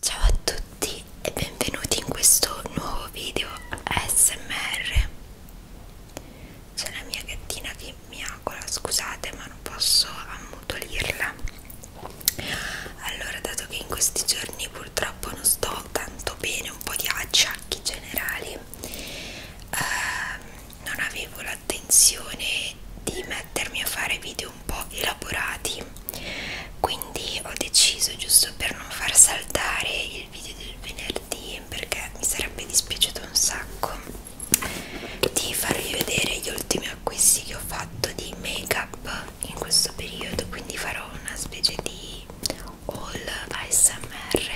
Ciao a tutti e benvenuti in questo nuovo video ASMR. C'è la mia gattina che miagola, scusate ma non posso ammutolirla. Allora, dato che in questi giorni purtroppo non sto tanto bene, un po' di acciacchi generali, eh, non avevo l'attenzione di mettermi a fare video un po' elaborati quindi ho deciso giusto per non far saltare il video del venerdì perché mi sarebbe dispiaciuto un sacco di farvi vedere gli ultimi acquisti che ho fatto di make up in questo periodo quindi farò una specie di haul ASMR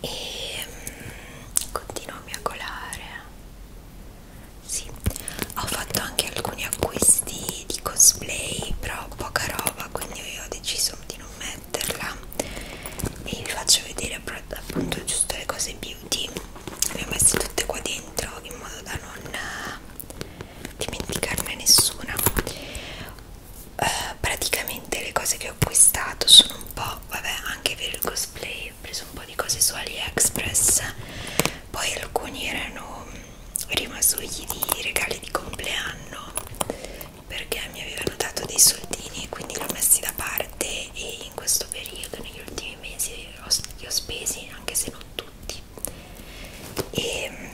e mm, continuo a miagolare sì, ho fatto anche alcuni acquisti di cosplay, però poca roba, quindi io ho deciso di non metterla e vi faccio vedere appunto giusto le cose beauty. Le ho messe tutte qua dentro in modo da non eh, dimenticarne nessuna. Uh, praticamente le cose che ho acquistato sono un po', vabbè, anche per il cosplay poi ho preso un po' di cose su AliExpress poi alcuni erano rimasugli di regali di compleanno perché mi avevano dato dei soldini e quindi li ho messi da parte e in questo periodo, negli ultimi mesi, ho, li ho spesi anche se non tutti e, ehm,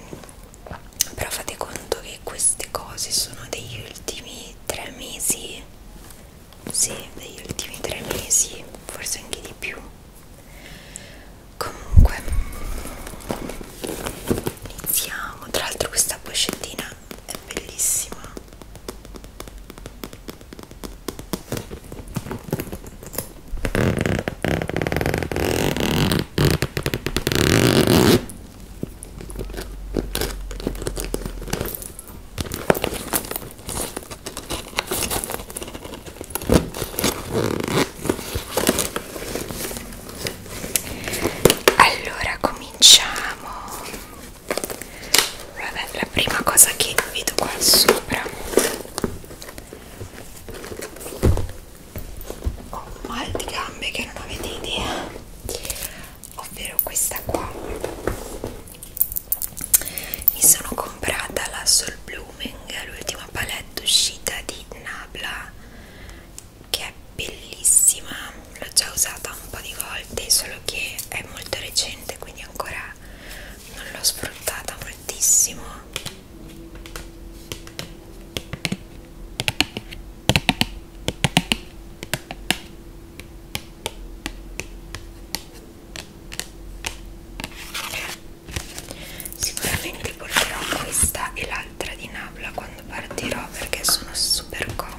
però fate conto che queste cose sono degli ultimi tre mesi sì, degli ultimi tre mesi, forse anche di più. Comunque, iniziamo. Tra l'altro, questa boccettina è bellissima allora cominciamo vabbè la prima cosa che vedo qua sopra ho mal di gambe che non avete idea ovvero questa qua mi sono comprata la Sol Blooming, l'ultima palette uscita di Nabla che è bellissima, l'ho già usata un po' di volte, solo che è molto recente quindi ancora non l'ho sfruttata moltissimo sicuramente porterò questa e l'altra di Nabla quando partirò perché sono super comode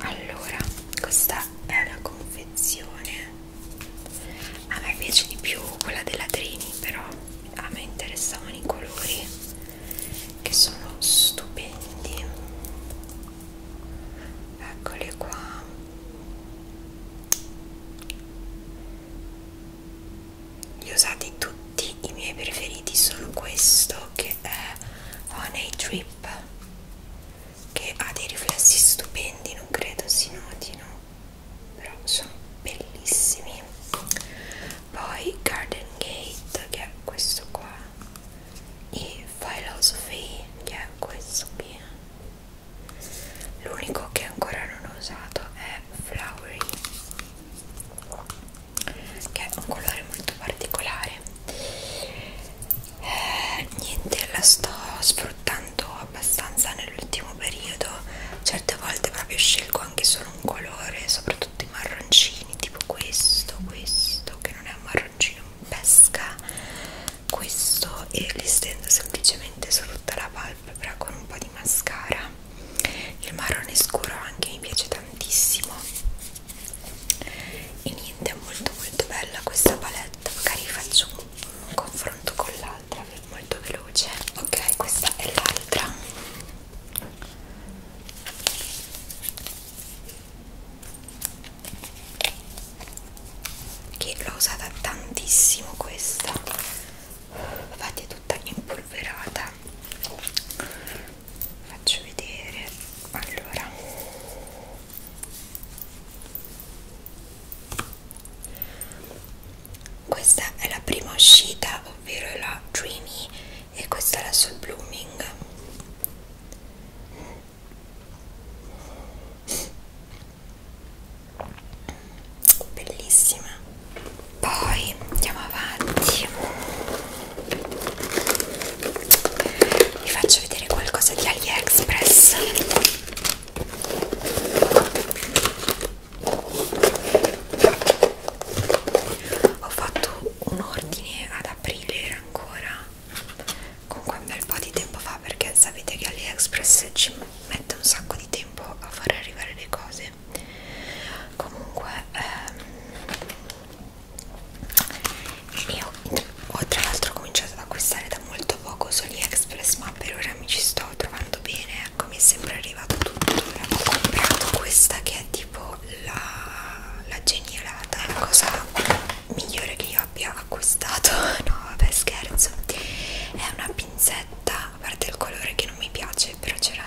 allora questa è una confezione a me piace di più quella della Trini però a me interessavano i colori che sono stupendi eccoli qua li ho usati tutti i miei preferiti sono questo che è Honey Drip che ha dei riflessi stupendi non credo si notino però sono bellissimi poi Garden Gate che è questo qua e Philosophy che è questo qui l'unico che ancora non ho usato è Flowery che è un colore molto particolare eh, niente la sto sfruttando abbastanza nell'ultimo periodo certe volte proprio scelgo anche solo un colore soprattutto i marroncini tipo questo questo che non è un marroncino pesca questo e li stendo semplicemente su tutta la palpebra con un po' di mascara il marrone scuro anche mi piace tantissimo e niente è molto molto bella questa palette magari faccio un confronto con l'altra molto veloce ok questa è l'altra che l'ho usata tantissimo questa infatti è tutta impolverata faccio vedere allora questa è la prima uscita ovvero la dreamy e questa è la sul blooming bellissima poi andiamo avanti vi faccio vedere qualcosa di AliExpress ho fatto un ordine ad aprile ancora comunque un bel po' di tempo fa perché sapete che AliExpress ci mette un sacco di tempo a far arrivare le cose bene comunque ehm, io ho tra l'altro cominciato ad acquistare da molto poco su AliExpress ma per ora mi ci sto trovando bene ecco mi è sempre arrivato tutto ho comprato questa che è tipo la, la genialata la cosa migliore che io abbia acquistato no vabbè scherzo è una pinzetta a parte il colore che non mi piace però c'era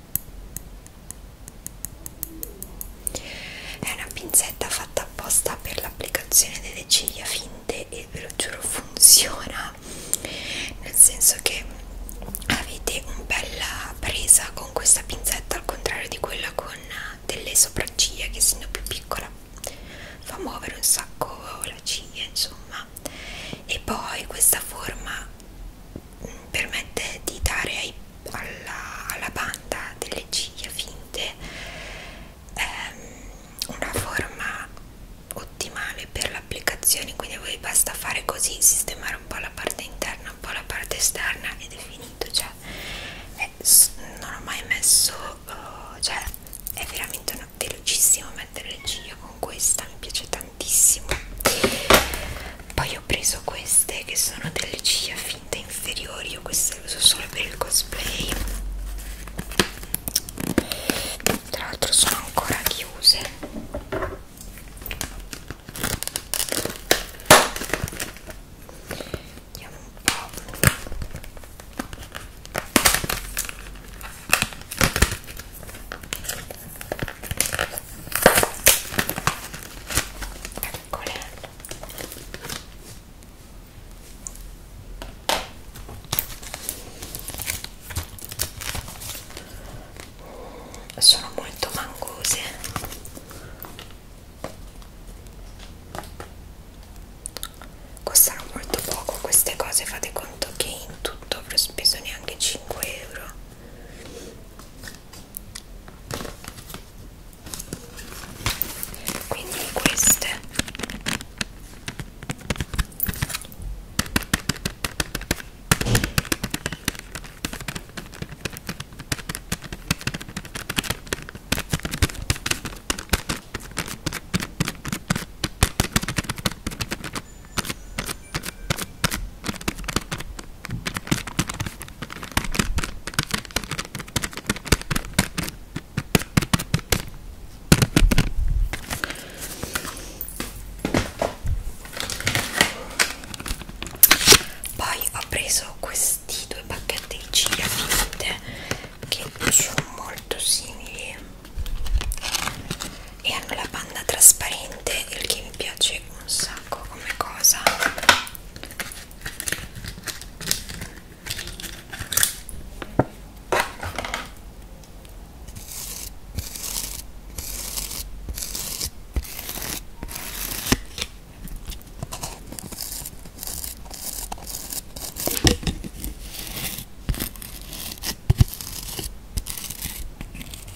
è una pinzetta fatta apposta per l'applicazione delle ciglia finte e ve lo giuro funziona, nel senso che avete una bella presa con questa pinzetta al contrario di quella con delle sopracciglia che essendo più piccola fa muovere un sacco la ciglia insomma e poi questa forma permette di dare ai, alla, alla banda delle ciglia finte ehm, una forma ottimale per l'applicazione quindi a voi basta fare così sistemare un po' la parte interna un po' la parte esterna ed è finito cioè è, non ho mai messo uh, cioè è veramente una, velocissimo mettere le ciglia con questa mi piace tanto tantissimo poi ho preso queste che sono delle ciglia finte inferiori io queste le uso solo per il cosplay tra l'altro sono ancora chiuse vediamo un po' Eccole. Sono molto mangose. Costano molto poco queste cose, fate conto che in tutto avrò speso neanche 5 euro quindi queste poi ho preso questi due pacchetti di ciglia finite che sono molto simili e hanno la panna trasparente il che mi piace un sacco come cosa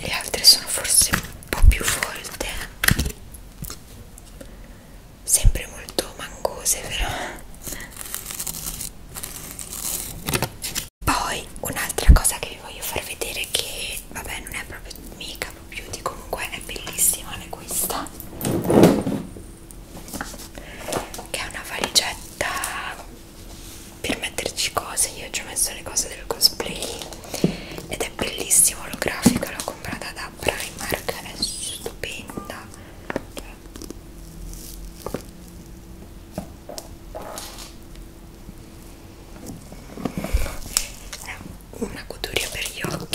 le altre sono forse un po' più volte sempre molto mangose però poi un'altra cosa che vi voglio far vedere che vabbè non è proprio mica proprio beauty comunque è bellissima è questa che è una valigetta per metterci cose io ci ho messo le cose del cosplay ed è bellissimo l'olografica l'ho comprata da Primark è stupenda è una coturia per gli occhi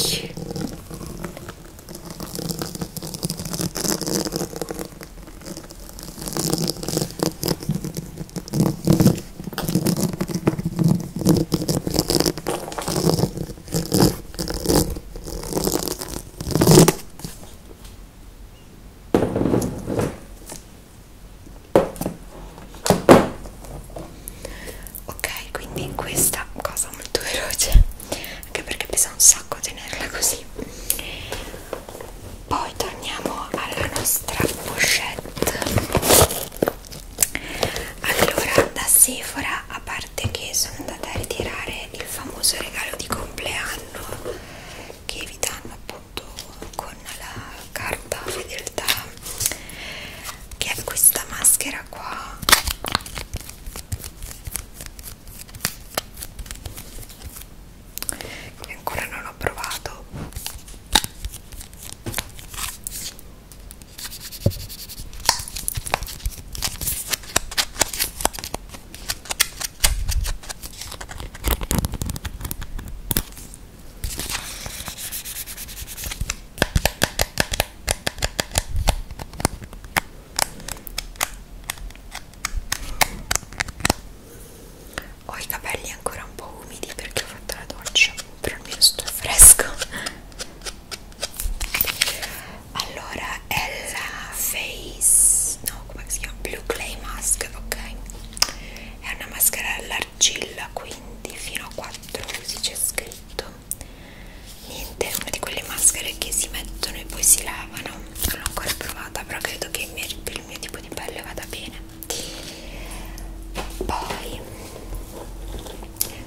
Ok, quindi questa cosa molto veloce, anche perché pesa un sacco tenerla così poi torniamo alla nostra pochette allora da Sephora a parte che sono andata a ritirare il famoso regalo di compleanno che vi danno appunto con la carta fedeltà che è questa maschera qua che ancora non ho provato ho i capelli ancora un po' umidi perché ho fatto la doccia però almeno sto fresco allora è la face no come si chiama blue clay mask ok è una maschera all'argilla quindi fino a 4 usi c'è scritto niente è una di quelle maschere che si mettono e poi si lavano non l'ho ancora provata però credo che il mio, per il mio tipo di pelle vada bene poi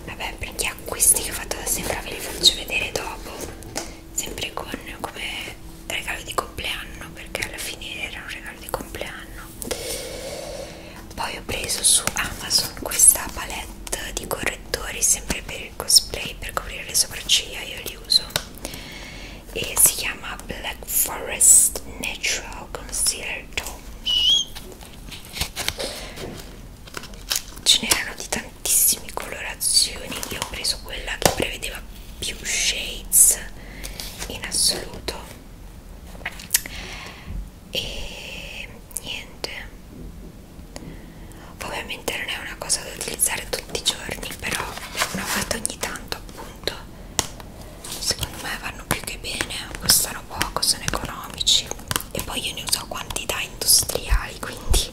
vabbè per gli acquisti che ho fatto da sempre ve li faccio vedere dopo sempre con come regalo di compleanno perché alla fine era un regalo di compleanno poi ho preso su Amazon questa palette di correttori sempre per il cosplay per coprire le sopracciglia io li uso e si chiama Black Forest Natural Concealer Tones ce n'erano di tantissime colorazioni io ho preso quella che prevedeva più shades in assoluto e niente ovviamente non è una cosa da utilizzare tutti i giorni però una volta ogni tanto appunto secondo me vanno più che bene costano poco sono economici e poi io ne uso quantità industriali quindi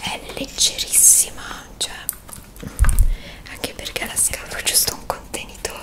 è leggerissima cioè anche perché la scatola è giusto un contenitore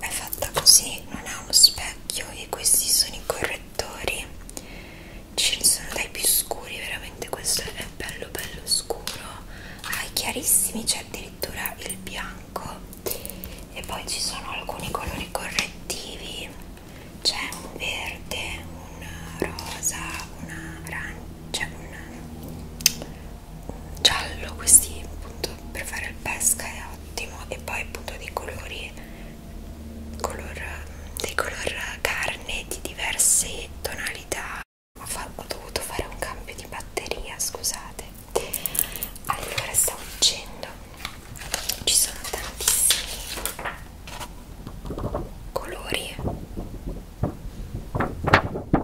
è fatta così non ha uno specchio e questi sono i correttori ce ne sono dai più scuri veramente questo è bello bello scuro ha ah, i chiarissimi c'è addirittura il bianco e poi ci sono alcuni colori correttivi c'è un verde un rosa un arancia un giallo questi appunto per fare il pesca è ottimo e poi appunto dei colori color, dei color carne di diverse tonalità ho, fatto, ho dovuto fare un cambio di batteria scusate allora stavo dicendo ci sono tantissimi colori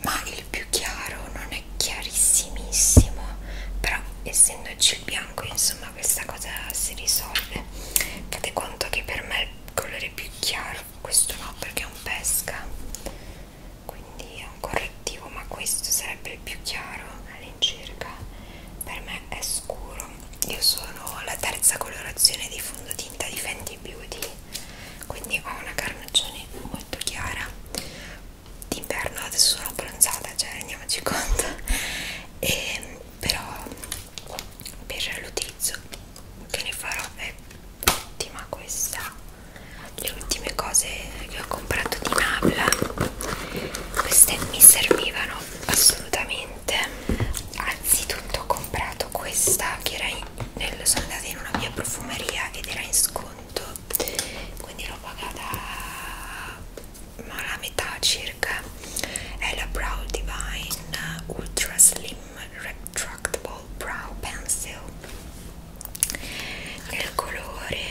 ma il più chiaro non è chiarissimissimo però essendoci il bianco insomma questa cosa si risolve fate conto che per me il colore più chiaro questo no perché è un pesca quindi è un correttivo ma questo sarebbe il più chiaro vale? all'incirca per me è scuro io sono la terza colorazione di fondotinta di Fenty Beauty quindi ho una carnagione molto chiara d'inverno adesso sono bronzata cioè rendiamoci conto e, però per l'utilizzo che ne farò è ottima questa le ultime cose che ho comprato di Nabla queste mi servivano assolutamente niente anzitutto ho comprato questa che era in, nel, sono andata in una mia profumeria ed era in sconto quindi l'ho pagata ma la metà circa è la Brow Divine Ultra Slim Retractable Brow Pencil nel colore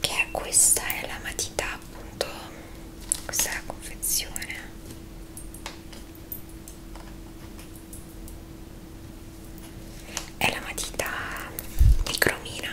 che questa è la matita appunto questa è la confezione è la matita di cromina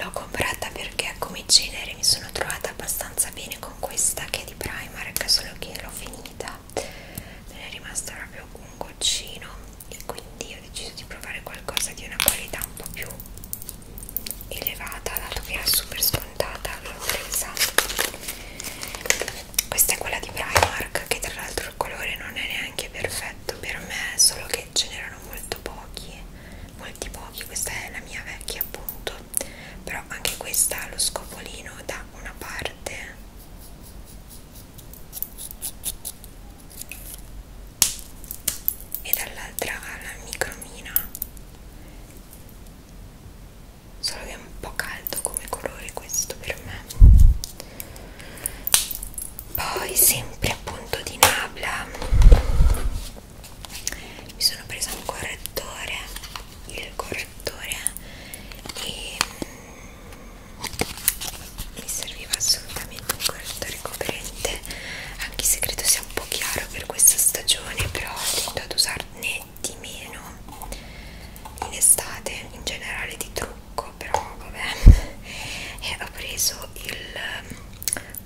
L'ho comprata perché come genere mi sono trovata abbastanza bene con questa che è di Primark, solo che l'ho finita, me ne è rimasto proprio un goccino e quindi ho deciso di provare qualcosa di una qualità un po' più elevata, dato che era super scontata scontata l'ho presa questa è quella di Primark che tra l'altro il colore non è neanche perfetto per me solo che ce n'erano molto pochi molti pochi questa è la mia vecchia appunto però anche questa ha lo scopolino da una parte e dall'altra ha la micromina solo che è un po' caldo come colore questo per me poi sempre appunto di Nabla mi sono presa un correttore il correttore e mm, mi serviva assolutamente un correttore coprente anche se credo sia un po' chiaro per questa stagione però ho ad usarne di meno in estate in generale di trucco però vabbè e ho preso il ehm,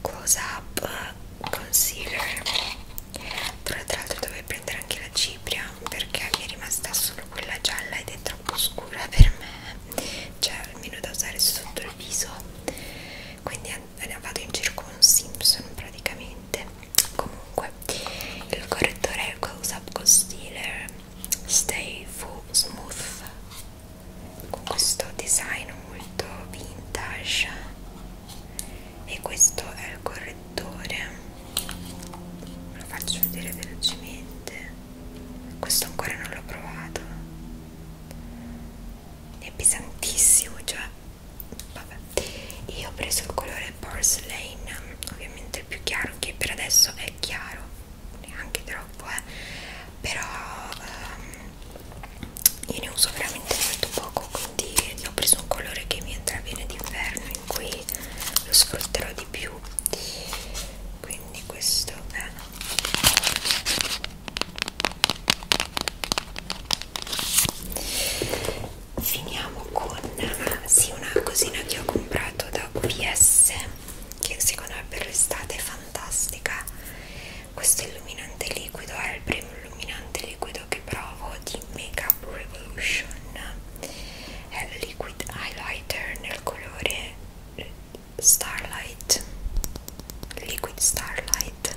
close up concealer tra l'altro dovevo prendere anche la cipria perché mi è rimasta solo quella gialla ed è troppo scura per me cioè almeno da usare sotto il viso quindi vado in giro con un Simpson praticamente comunque il correttore Close Up Concealer Stay Full Smooth con questo design molto vintage e questo è il correttore ve lo faccio vedere velocemente questo ancora non l'ho provato è pesantissimo cioè vabbè io ho preso il colore porcelain ovviamente il più chiaro che per adesso è chiaro neanche troppo eh però um, io ne uso veramente molto poco quindi ho preso un colore che mi entra bene d'inverno in cui lo sfrutterò di più quindi questo è finiamo con sì, una cosina che ho comprato da OVS che secondo me per l'estate è fantastica questo illuminante liquido è il primo illuminante liquido che provo di Make Up Revolution è il liquid highlighter nel colore Starlight liquid Starlight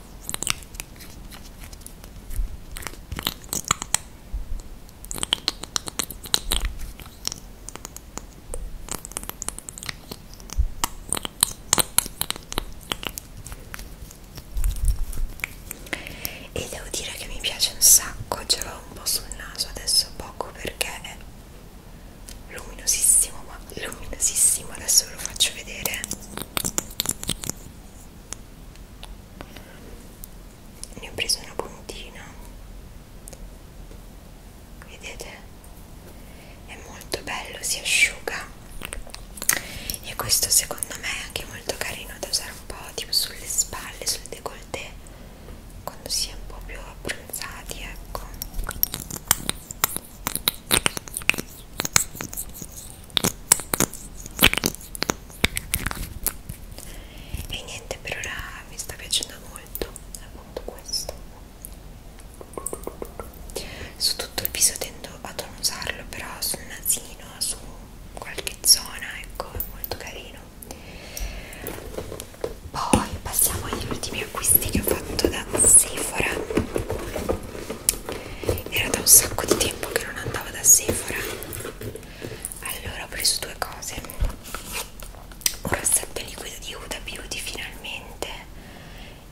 e devo dire che mi piace un sacco ce l'ho un po' sul naso adesso poco perché è luminosissimo ma luminosissimo adesso ve lo faccio vedere ne ho preso una puntina vedete è molto bello si asciuga e questo secondo me è anche molto carino da usare un po' tipo sulle spalle sul décolleté quando si è un po' più abbronzati ecco e niente per ora mi sta piacendo molto appunto questo su tutto il viso tendo ad non usarlo però sul nasino su qualche zona ecco è molto carino poi passiamo agli ultimi acquisti che ho fatto da Sephora era da un sacco di tempo che non andavo da Sephora allora ho preso due cose un rossetto liquido di Huda Beauty finalmente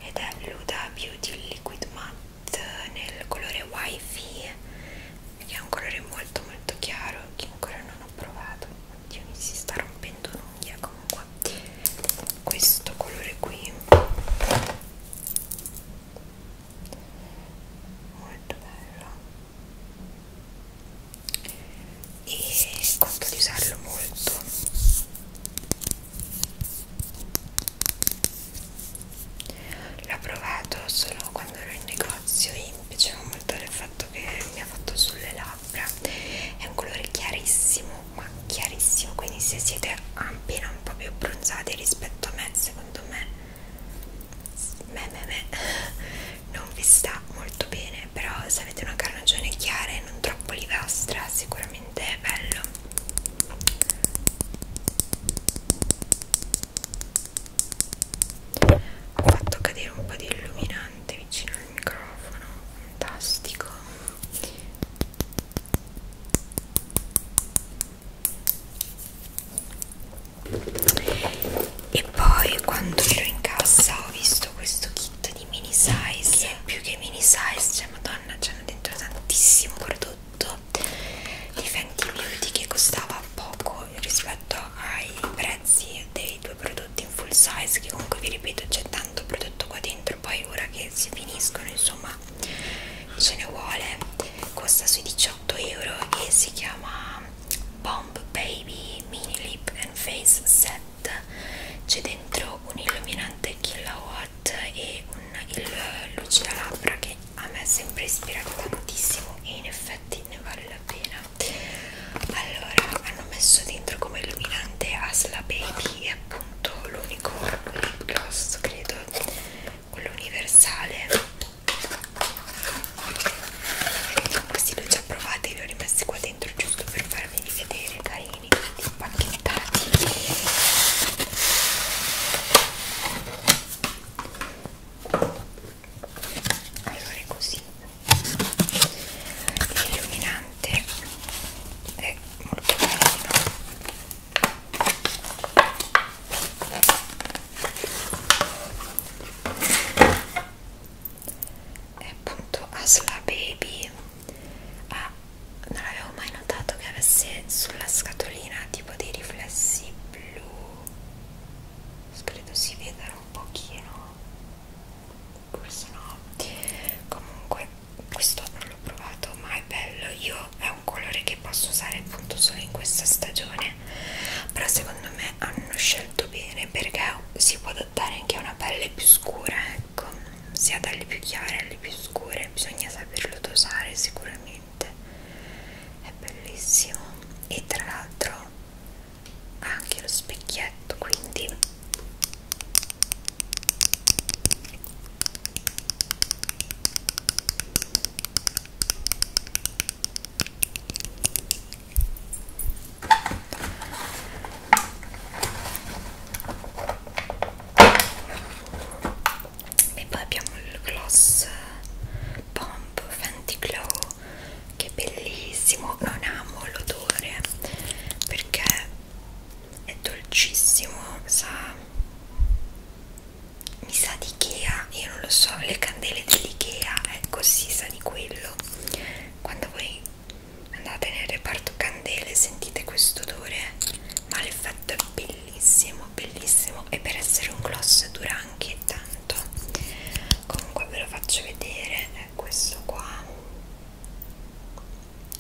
ed è l'Huda Beauty Liquid Matte nel colore Wifi che è un colore molto molto chiaro che ancora non ho provato oddio mi si sta rompendo un'unghia comunque questo colore qui molto bello e conto di usarlo molto l'ho provato solo quando ero in negozio e mi piaceva molto il fatto che mi ha fatto sulle labbra è un colore chiarissimo ma chiarissimo quindi se siete appena erano un po' più bronzati rispetto a me secondo me, me, me, me. non vi sta molto bene però se avete una carnagione chiara e non troppo olivastra sicuramente è bello ho fatto cadere un po' di illuminante vicino al microfono fantastico e poi quando ero in cassa ho visto questo kit di mini size che è più che mini size cioè madonna c'hanno dentro tantissimo prodotto di Fenty Beauty che costava poco rispetto ai prezzi dei due prodotti in full size che comunque vi ripeto c'è tanto prodotto qua dentro poi ora che si finiscono insomma ce ne vuole costa sui 18 euro e si chiama Bomb Baby Mini Lip and Face Set c'è dentro un illuminante kilowatt e un il lucida labbra che a me è sempre ispirato tantissimo e in effetti ne vale la pena allora hanno messo dentro come illuminante Asla Baby e appunto l'unico lip gloss credo quello universale questi li ho già provati li ho rimessi qua dentro giusto per farvi vedere carini tutti impacchettati allora è così l'illuminante è molto carino e appunto Asla Baby ah, non avevo mai notato che avesse sulla scatolina tipo dei riflessi blu credo si vedano un pochino forse no comunque questo non l'ho provato ma è bello io è un colore che posso usare appunto solo in questa stagione però secondo me hanno scelto bene perché si può adattare anche a una pelle più scura ecco sia dalle più chiare alle più scure bisogna saperlo dosare sicuramente è bellissimo e tra l'altro ha anche lo specchietto quindi e poi abbiamo il gloss pomp Fenty Glow che è bellissimo non amo l'odore perché è dolcissimo, sa, mi sa di Ikea, io non lo so, le candele dell'Ikea, ecco si sa di quello, quando voi andate nel reparto candele sentite questo odore, ma l'effetto è bellissimo, bellissimo e per essere un gloss dura anche tanto, comunque ve lo faccio vedere, è eh, questo qua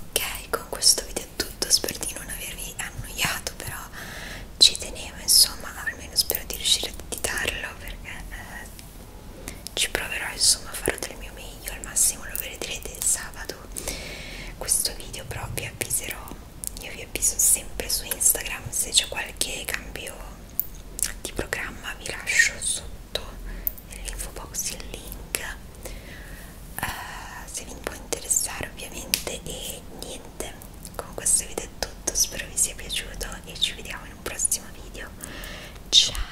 Ok, con questo video è tutto, spero di non avervi annoiato, però ci tenevo, insomma, almeno spero di riuscire ad editarlo perché eh, ci proverò, insomma, farò del mio meglio, al massimo lo vedrete il sabato questo video però vi avviserò io vi avviso sempre su Instagram se c'è qualche cambio di programma vi lascio sotto nell'info box il link uh, se vi può interessare ovviamente e niente con questo video è tutto spero vi sia piaciuto e ci vediamo in un prossimo video ciao